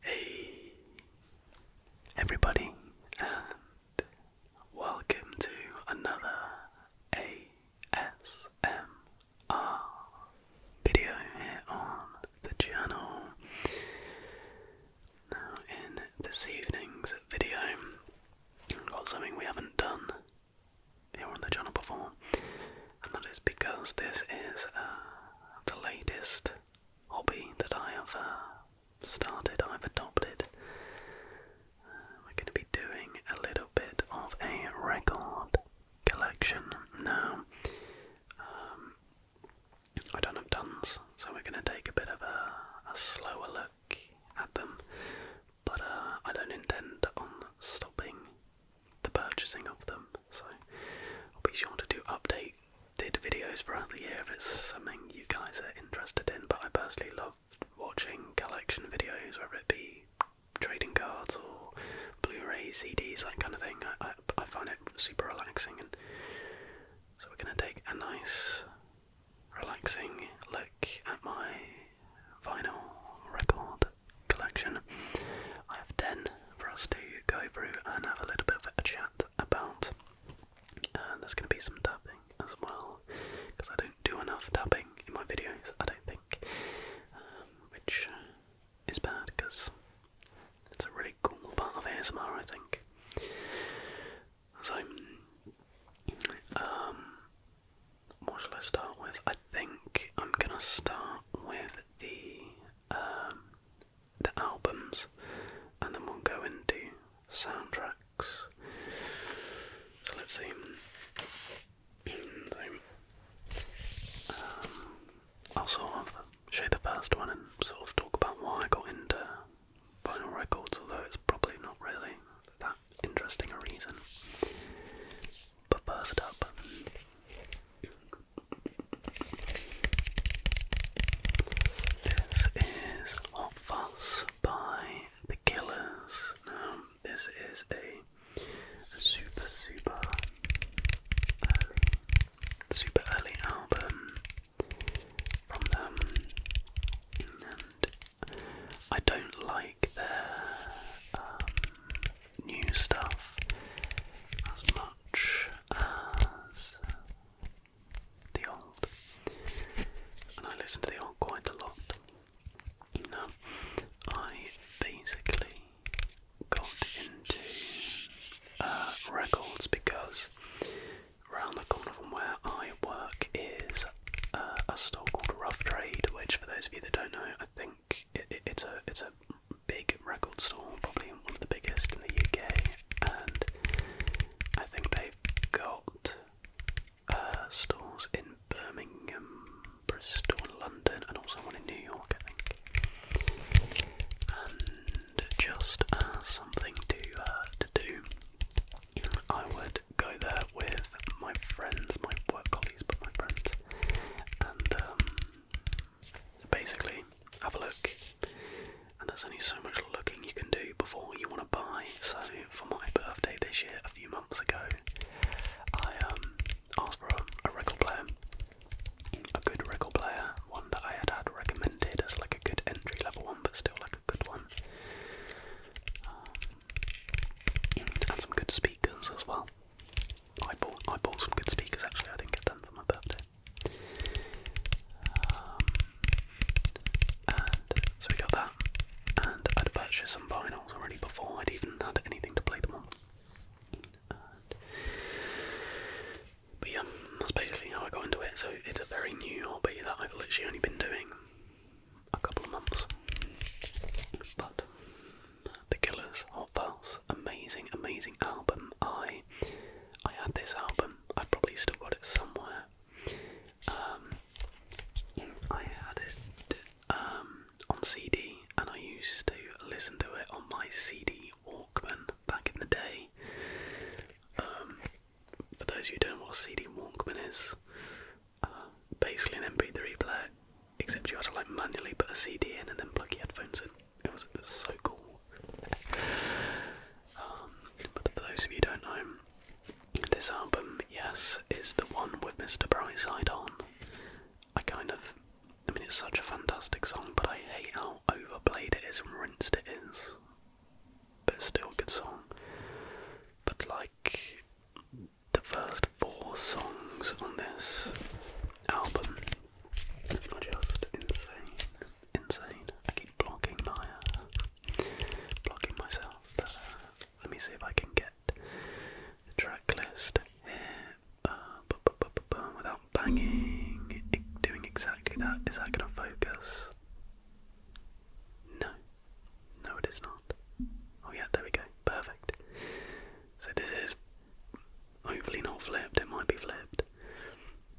Hey everybody and welcome to another ASMR video here on the channel. Now in this evening's video I've got something we haven't done here on the channel before and that is because this is uh, the latest hobby that I have uh, started, I've adopted. Uh, we're going to be doing a little bit of a record collection now. Um, I don't have tons, so we're going to take a bit of a, slower look at them, but uh, I don't intend on stopping the purchasing of them, so I'll be sure to do updates did videos throughout the year if it's something you guys are interested in, but I personally love watching collection videos, whether it be trading cards or Blu-ray CDs, that kind of thing. I, I, I find it super relaxing, and so we're going to take a nice, relaxing look at my vinyl record collection. I have ten for us to go through and have a little bit of a chat about. And uh, there's going to be some tapping as well, because I don't do enough tapping in my videos, I don't think, um, which is bad because it's a really cool part of ASMR, I think. So, um, what shall I start with? I think I'm gonna start with the um, the albums, and then we'll go into soundtracks. So let's see. Also, um, I'll of show the first one and sort of talk about why I got into vinyl records, although it's probably not really that interesting a reason. But first up, this is Hot Fuzz by The Killers. Now, um, this is a, super, super early, uh, super early album from them, I don't like their um, new stuff as much. Uh, the old. And I listen to the old quite a lot. Now, I basically got into uh, records because around the corner from where I work is uh, a store called Rough Trade, which, for those of you that don't know, I think it's a it's a big record store, probably one of the biggest in the UK, and I think they've got uh, stores in Birmingham, Bristol, London, and also one in New York, I think. And just something to uh, to do, I would go there with my friends, my work colleagues, but my friends, and um, basically have a look and there's only so much looking you can do before you want to buy so for my birthday this year a few months ago i um, asked for a, record player a good record player one that i had had recommended as like a good entry level one but still like a good one um, and some good speakers as well I bought I bought some good speakers actually. I didn't get them for my birthday. Um, and so we got that, and I'd purchased some vinyls already before I'd even had anything to play them on. but yeah, that's basically how I got into it. So it's a very new hobby that I've literally only been doing a couple of months, but the Killers, Hot Pals, amazing, amazing album. I I had this album. i probably still got it somewhere. Um, I had it um, on CD, and I used to listen to it on my CD Walkman back in the day. Um, for those of who don't know what CD Walkman is, uh, basically an MP3 player, except you had to like manually put a CD in and then plug your headphones in. It was so cool. um, but for those of you don't know, this album, yes, is the one with Mr. Brightside on. I kind of, I mean, it's such a fantastic song, but I hate how overplayed it is and rinsed it is. But still a good song. But like, the first four songs on this album I'm Just insane, insane. I keep blocking my, uh, blocking myself. Uh, let me see if I can get the track list here uh, without banging. Doing exactly that. Is that going to focus? No, no, it is not. Oh yeah, there we go. Perfect. So this is Hopefully not flipped, it might be flipped.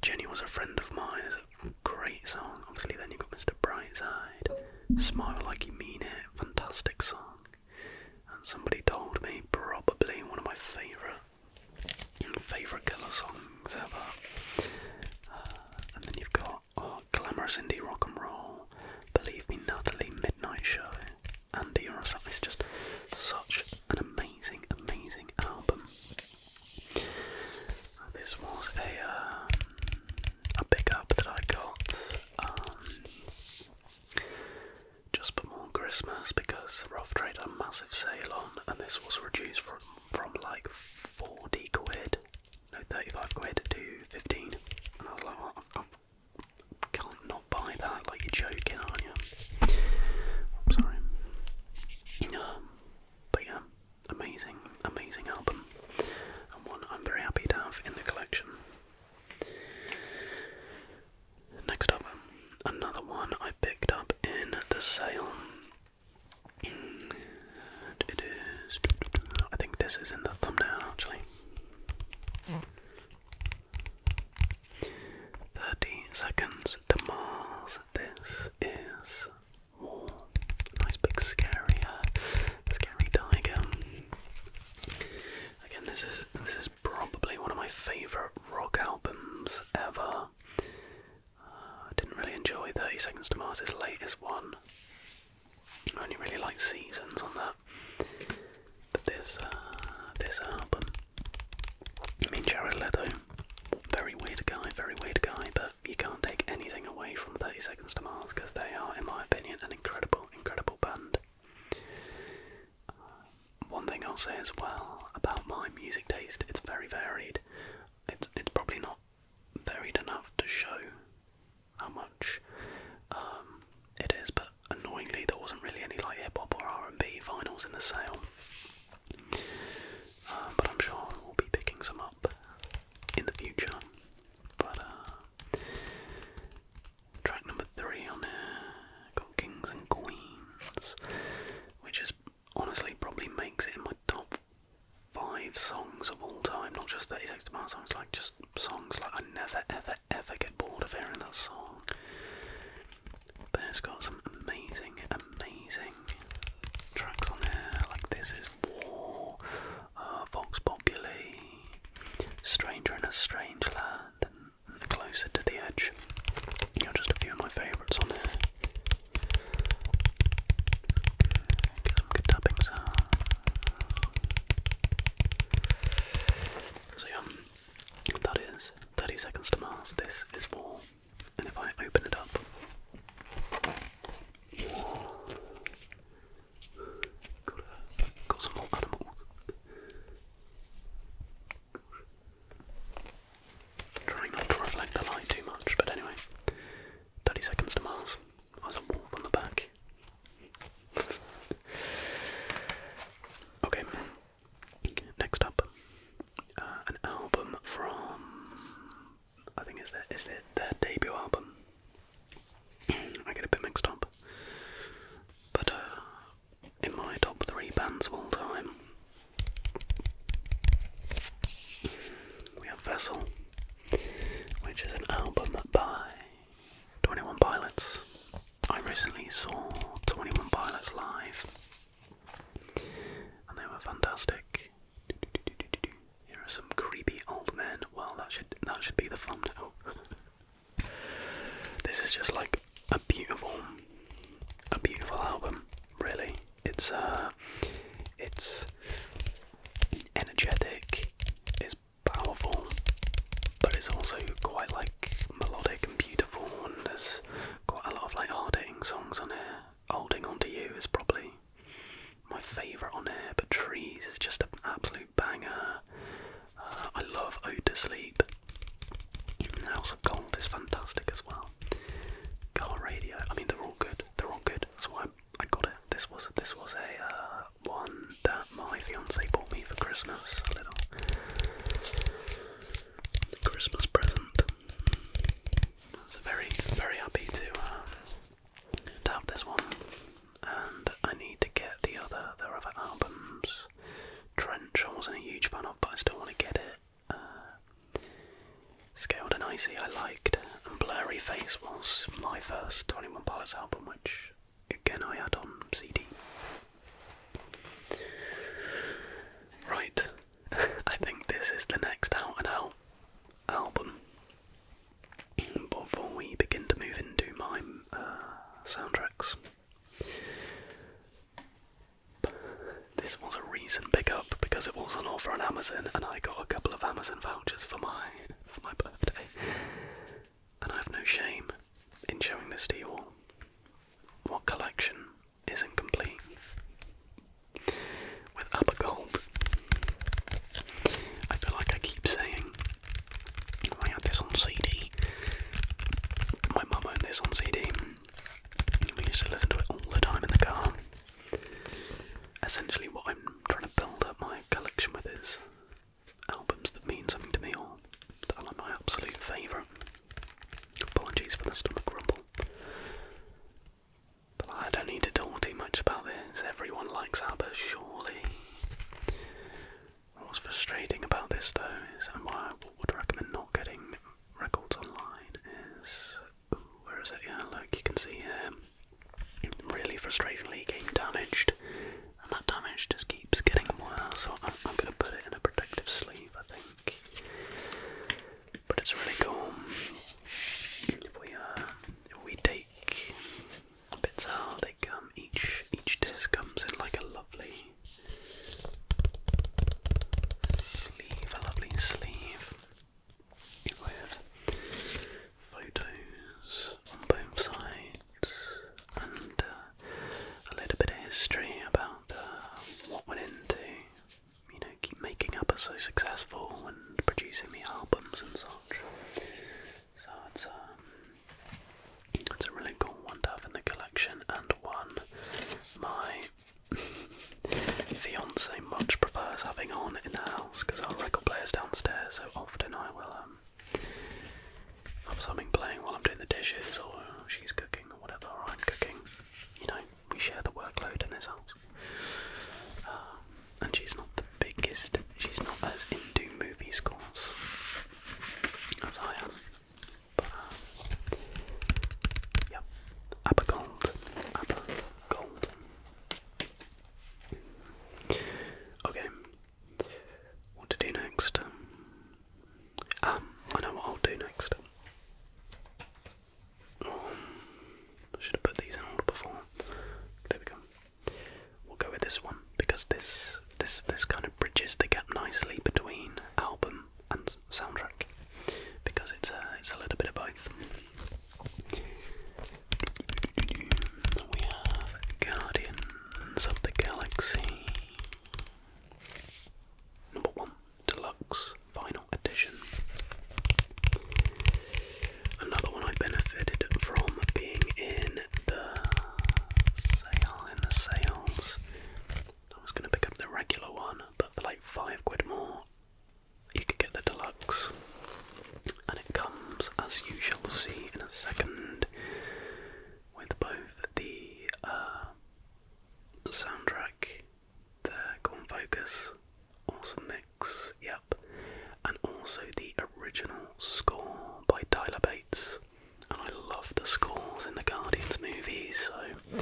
Jenny was a friend of mine is a great song. Obviously then you've got Mr. Brightside. Smile Like You Mean It, fantastic song. And somebody told me probably one of my favourite favourite killer songs ever. Uh, and then you've got oh, Glamorous Indie Rock and Roll, Believe Me Natalie Midnight Show, Andy Russell is just such an amazing, amazing album. This was a um, a pickup that I got um, just before Christmas because Rough Trade had a massive sale on, and this was reduced from from like forty quid, no thirty five quid to fifteen, can't not buy that, like you're joking, aren't you? I'm sorry. Um, but yeah, amazing, amazing album, and one I'm very happy to have in the collection. Next up, another one I picked up in the sale. it is. I think this is in the thumbnail actually. Hmm. Thirty seconds to Mars. This is war. Nice big scary, uh, scary tiger. Again, this is this is probably one of my favourite rock albums ever. Uh, I didn't really enjoy Thirty Seconds to Mars's latest one. I only really like Seasons on that. But this uh, this album, I mean Jared Leto, very weird guy, very weird guy, but you can't take anything away from Thirty Seconds to Mars because they are, in my opinion, an incredible, incredible band. Uh, one thing I'll say as well about my music taste, it's very varied. It's it's probably not varied enough to show how much um, it is, but annoyingly, there wasn't really any like hip hop or R and B vinyls in the sale. Uh, but I'm sure we'll be picking some up in the future. But uh, track number three on there got Kings and Queens, which is honestly probably makes it in my top five songs of all time. Not just 36 Seconds to Mars songs, like just songs like I never ever ever get bored of hearing that song. But it's got some amazing, amazing tracks on there, like This Is War, uh, Vox Populi, Stranger in a Strange Land, and Closer to the Edge. You know, just a few of my favourites on there. some good tapping sounds. So yeah, that is 30 Seconds to Mars. This is War. And if I open it up. Got, some more animals. Trying not to reflect the light too much, but anyway. 30 Seconds to Mars. There's a wolf on the back okay. Next up, uh, an album from I think is it is it their debut album. I get a bit mixed up, but uh, in my top three bands of all time, we have Vessel, which is an album by 21 Pilots. I recently saw 21 Pilots live and they were fantastic. Here are some creepy old men. Well, that should that should be the fun this is just like a beautiful, a beautiful album. Really, it's uh, it's energetic powerful, but it's also quite like melodic and beautiful, and there's quite a lot of like hard hitting songs on here. Holding on to you is probably my favourite on here, but Trees is just an absolute banger. Uh, I love Ode to Sleep. House of Gold is fantastic as well. Car Radio, I mean they're all good. They're all good. That's why I got it. This was this was a uh, one that my fiance bought me for Christmas. A little Christmas present. So very, very happy to, uh, to have this one. And I need to get the other. There are other albums. Trench, I wasn't a huge fan of, but I still want to get it. Uh, Scaled and Icy I liked, and Blurry Face was my first 21 Pilots album, which again I had on CD. Right, I think this is the next out and out album. Before we begin to move into my uh, soundtracks, this was a recent pickup because it was on offer on Amazon, and I got a couple of Amazon vouchers for my for my birthday and I have no shame in showing this to you all. What collection isn't complete? With Abba Gold. I feel like I keep saying, I had this on CD. My mum owned this on CD. We used to listen to it all the time in the car. Essentially, what I'm trying to build up my collection with is albums that mean something to me or that are my absolute favourite. Apologies for the stomach rumble, But I don't need to talk too much about this. Everyone likes albums, surely. What's frustrating about this though is, and why I would recommend not getting records online is, where is it? Yeah, look, you can see here really frustratingly getting damaged, and that damage just keeps getting worse. So I'm, going to put it in a protective sleeve, I think. But it's really cool. we uh, we take bits out, they come each each disc comes in like a lovely sleeve, a lovely sleeve photos on both sides and uh, a little bit of history about what went into you know keep making up us so successful and producing the albums and such. So it's um it's a really cool one to have in the collection and one my fiance much prefers having on in the house because our record player is downstairs so often I will um have something playing while I'm doing the dishes or she's cooking or whatever, or I'm cooking. You know, we share the workload in this house. Um, and she's not the biggest, she's not as into movie scores as I am. But, uh, yep, Okay, what to do next. Um, um, I know what I'll do next. Um, should have put these in order before. There we go. We'll go with this one because this this this kind of bridges the gap nicely between album and soundtrack because it's a it's a little bit of both. We have Guardians of the Galaxy. Number one, Deluxe Final Edition. Another one I benefited from being in the sale in the sales. I was gonna pick up the regular one, but for like five quid more, you could get the deluxe and it comes, as you shall see in a second, with both the uh, soundtrack, the Gone Focus, Awesome Mix, yep, and also the original score by Tyler Bates. And I love the scores in the Guardians movies, so.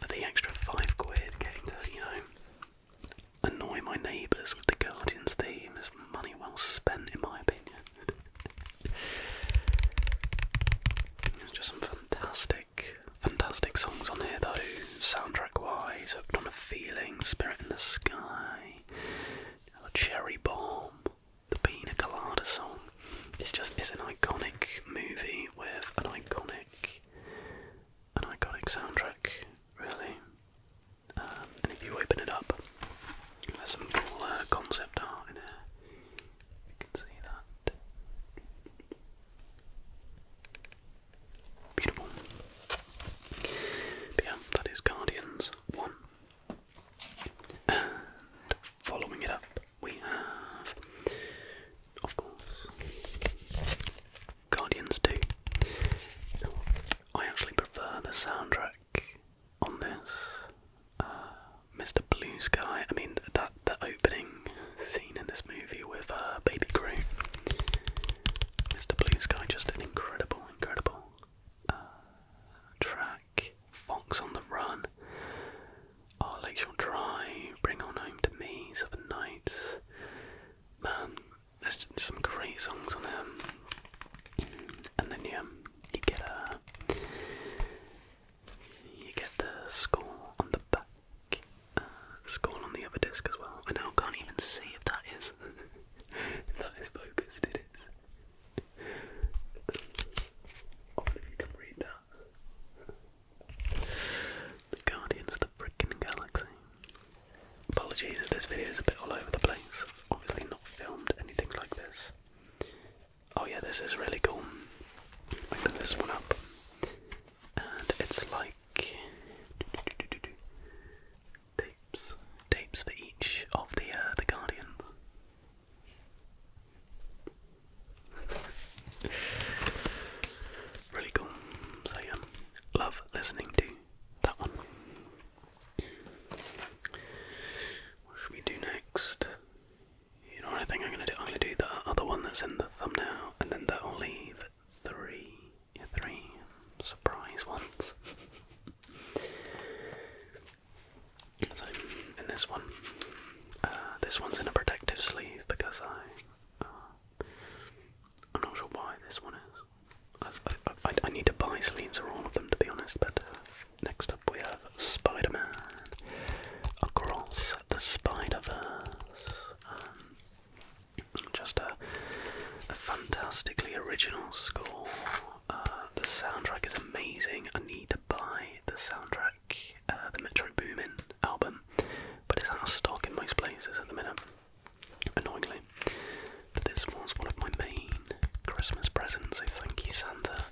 For the extra five quid, getting to, you know, annoy my neighbours with the Guardian's theme is money well spent, in my opinion. just some fantastic, fantastic songs on here, though. Soundtrack wise, Hooked on a Feeling, Spirit in the Sky, Cherry Bomb, the Pina Colada song. It's just, it's an iconic movie with an iconic, an iconic soundtrack, really. Um, and if you open it up, there's some cool uh, concept art in here. You can see that. Beautiful. But yeah, that is Guardians 1. And following it up, we have, of course, Guardians do. I actually prefer the soundtrack on this. Uh, Mr. Blue Sky. I mean that the opening scene in this movie with uh, Baby Groot. Mr. Blue Sky, just an incredible, incredible uh, track. Fox on the Run. Oh, Lakeshore Drive. Bring on home to me. Seven night, Man, there's some great songs on it. And then yeah, you get a uh, you get the score on the back, uh, score on the other disc as well. I now can't even see if that is that is focused. It is. Oh, if you can read that. The Guardians of the Frickin' Galaxy. Apologies if this video is a bit all over the place. Obviously, not filmed anything like this. Oh, yeah, this is really cool. I this one up, and it's like tapes, tapes for each of the uh, the guardians. really cool. So yeah, love listening to that one. What should we do next? You know I think I'm gonna do? I'm gonna do the other one that's in the thumbnail, and then that'll leave three, three surprise ones. so in this one, uh, this one's in a protective sleeve because I uh, I'm not sure why this one is. I, need to buy sleeves for all of them to be honest, but uh, next up we have Spider Man Across the Spider Verse. Um, just a, fantastically original score. Uh, the soundtrack is amazing. I need to buy the soundtrack, uh, the Metro Boomin album, but it's out of stock in most places at the minute annoyingly. But this was one of my main Christmas presents, so thank you, Santa.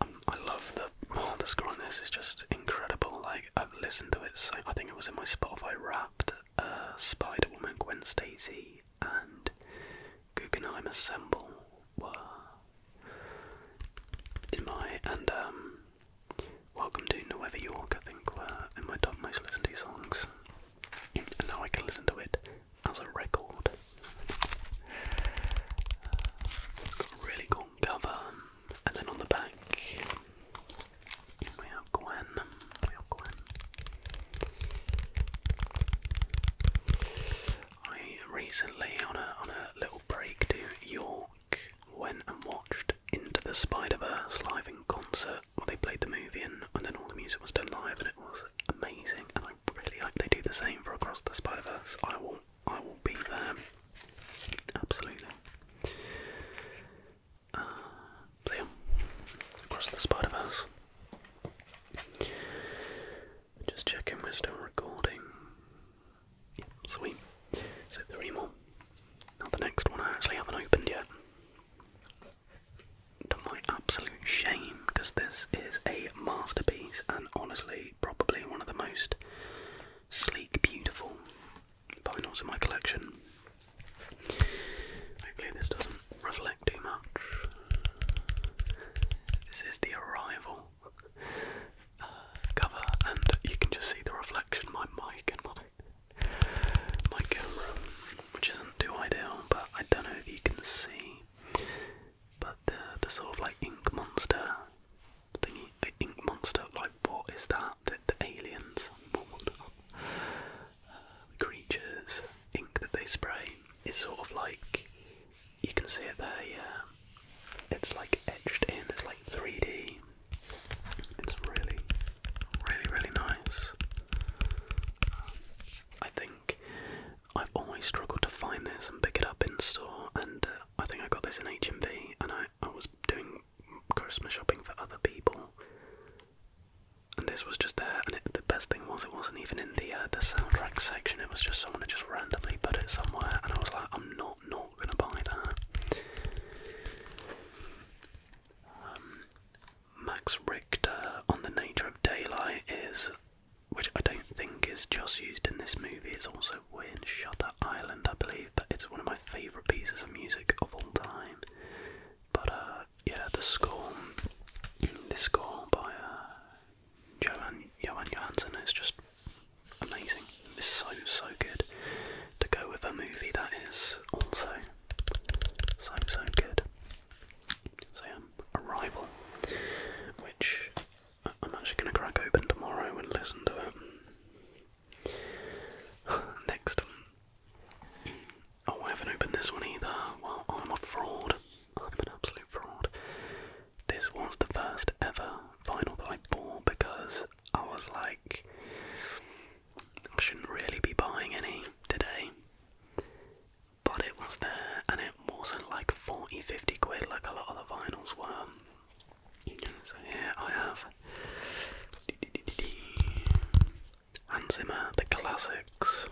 Um, I love the oh, the score on this is just incredible. Like I've listened to it so I think it was in my Spotify Wrapped, uh, Spider Woman, Gwen Stacy, and Guggenheim Assemble were in my and um Welcome to Nueva York, I think in my top most listened to songs. And now I can listen to it as a record. really cool cover. And then on the back we have Gwen. We have Gwen. I recently on a on a little break to York went and watched into the Spider Verse live in concert. Well, they played the movie and, then all the music was done live, and it was amazing. And I really like. they do the same for Across the Spider Verse. I will, I will be there. Absolutely. Uh, so Across the Spider Verse. Just checking we're still recording. sweet. So three more. Now the next one I actually haven't opened yet. To my absolute shame, because this is a masterpiece and honestly probably one of the most sleek, beautiful vinyls in my collection. Hopefully this doesn't reflect too much. This is the Arrival uh, cover, and you can just see the reflection of my mic and my my camera, which isn't too ideal, but I don't know if you can see. But the, the sort of like ink monster thingy, the ink monster, like what is that? The, the aliens, what, the uh, creatures, ink that they spray is sort of like you can see it there, yeah. It's like etched in, it's like 3D, it's really, really, really nice. I think I've always struggled to find this and pick it up in store, and uh, I think I got this in HMV, and I, I was doing Christmas shopping for other people, and this was just there. And the best thing was, it wasn't even in the uh, the soundtrack section. It was just someone had just randomly put it somewhere, and I was like, I'm not not gonna buy that. Um, Max Richter on the nature of daylight is, which I don't think is just used in this movie. It's also in Shutter Island, I believe, but it's one of my favourite pieces of music of all time. But uh, yeah, the score, the score by uh, Johan Johan Johansson is just amazing. It's so, so good to go with a movie that is also so, so good. So, yeah, Arrival, which I'm actually going to crack open tomorrow and listen to it. Next. Oh, I haven't opened this one either. Well, I'm a fraud. I'm an absolute fraud. This was the first ever vinyl that I bought because I was like, I shouldn't really be buying any today. But it was there and it was like 40 50 quid like a lot of the vinyls were. So here I have Hans Zimmer, the classics.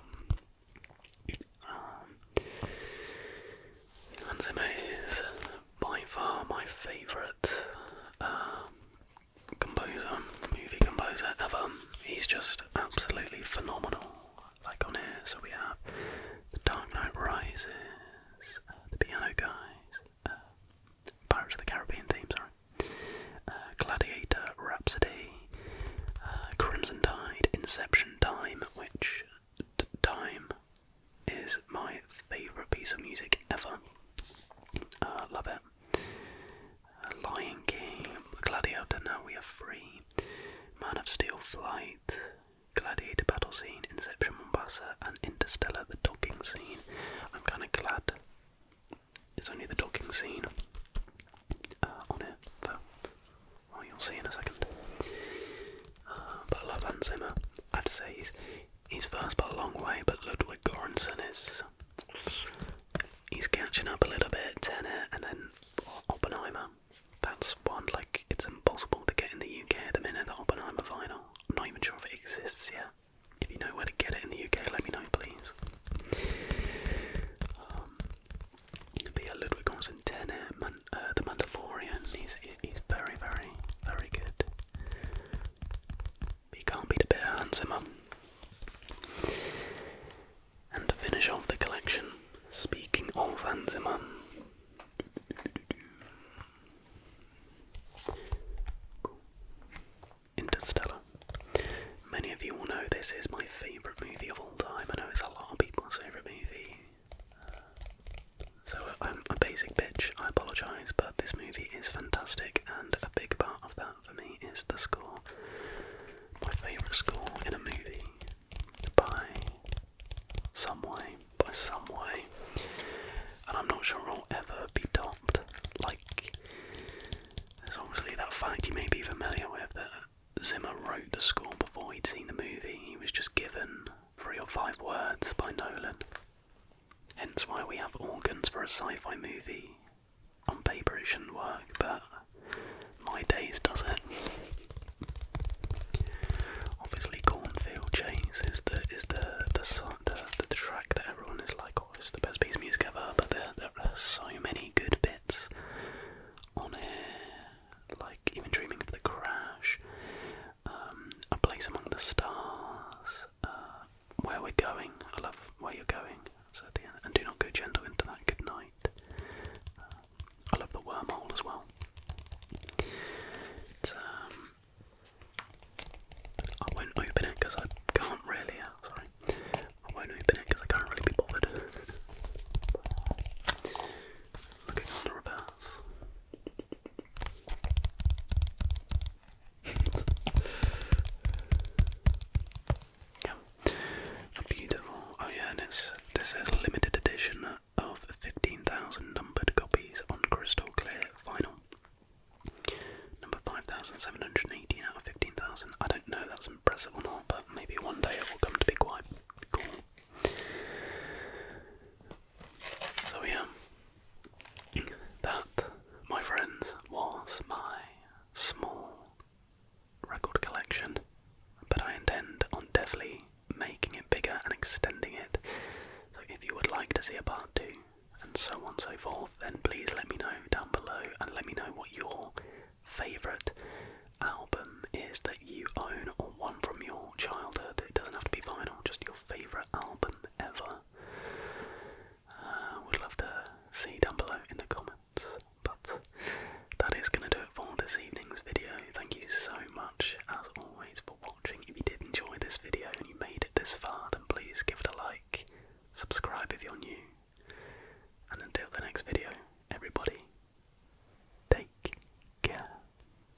Um, Hans Zimmer is by far my favourite um, composer, movie composer ever. He's just absolutely phenomenal. Like so we have The Dark Knight Rises, uh, The Piano Guys, uh, Pirates of the Caribbean theme, sorry, uh, Gladiator Rhapsody, Crimson Tide, Inception Time, which. Time is my favourite piece of music ever. Uh, love it. Uh, Lion King, Gladiator, Now We Are Free, Man of Steel, Flight, Gladiator Battle Scene, Inception, Mombasa, and Interstellar, the docking scene. I'm kind of glad it's only the docking scene uh, on it, but you'll see in a second. Uh, but love Hans Zimmer. I have to say he's He's first by a long way, but Ludwig Göransson is he's catching up a little bit, and, and then Oppenheimer. That's one like it's impossible to get in the UK at the minute. The Oppenheimer vinyl. I'm not even sure if it exists yet. If you know where to get it in the UK, let me know, please. Um, be a Ludwig Göransson tenor, uh, the Mandalorian. He's he's very, very, very good. He can't beat a bit of Hans Zimmer. And to finish off the collection, speaking of Hans Zimmer, Interstellar. Many of you will know this is my favourite movie of all time. I know it's a lot of people's favourite movie. So uh, I'm a basic bitch, I apologise, but this movie is fantastic, and a big part of that for me is the score. My favourite score in a movie by some way, by some way, and I'm not sure it'll ever be topped. Like, there's obviously that fact you may be familiar with that Zimmer wrote the score before he'd seen the movie, he was just given three or five words by Nolan. Hence why we have organs for a sci fi movie. On paper it shouldn't work, but my days does it. Obviously, Cornfield Chase is the is the the, the the track that everyone is like, oh, it's the best piece of music ever. But there are so many good bits on here, like even dreaming of the crash, um, a Place Among the Stars, uh, Where We're Going, I love Where You're Going, so at the end, and Do Not Go Gentle into That, Good Night. Uh, I love The Wormhole as well. But, um, I won't open it because I can't really, uh, sorry, I won't open it because I can't really be bothered. Looking on the reverse, yeah. Beautiful. Oh this is a limited edition of 15,000 numbered copies on crystal clear vinyl. Number 5,718 out of 15,000. I don't know that's impressive or not, but maybe one day it will come to be quite cool. So yeah, that, my friends, was my small record collection, but I intend on definitely making it bigger and extending it. So if you would like to see a part two, and so on and so forth, then please let me know down below and let me know what your favourite album is that you own or one from your childhood. It doesn't have to be vinyl, just your favourite album ever? Uh, would love to see down below in the comments. But that is going to do it for this evening's video. Thank you so much, as always, for watching. If you did enjoy this video and you made it this far, then please give it a like, subscribe if you're new, and until the next video, everybody, take care.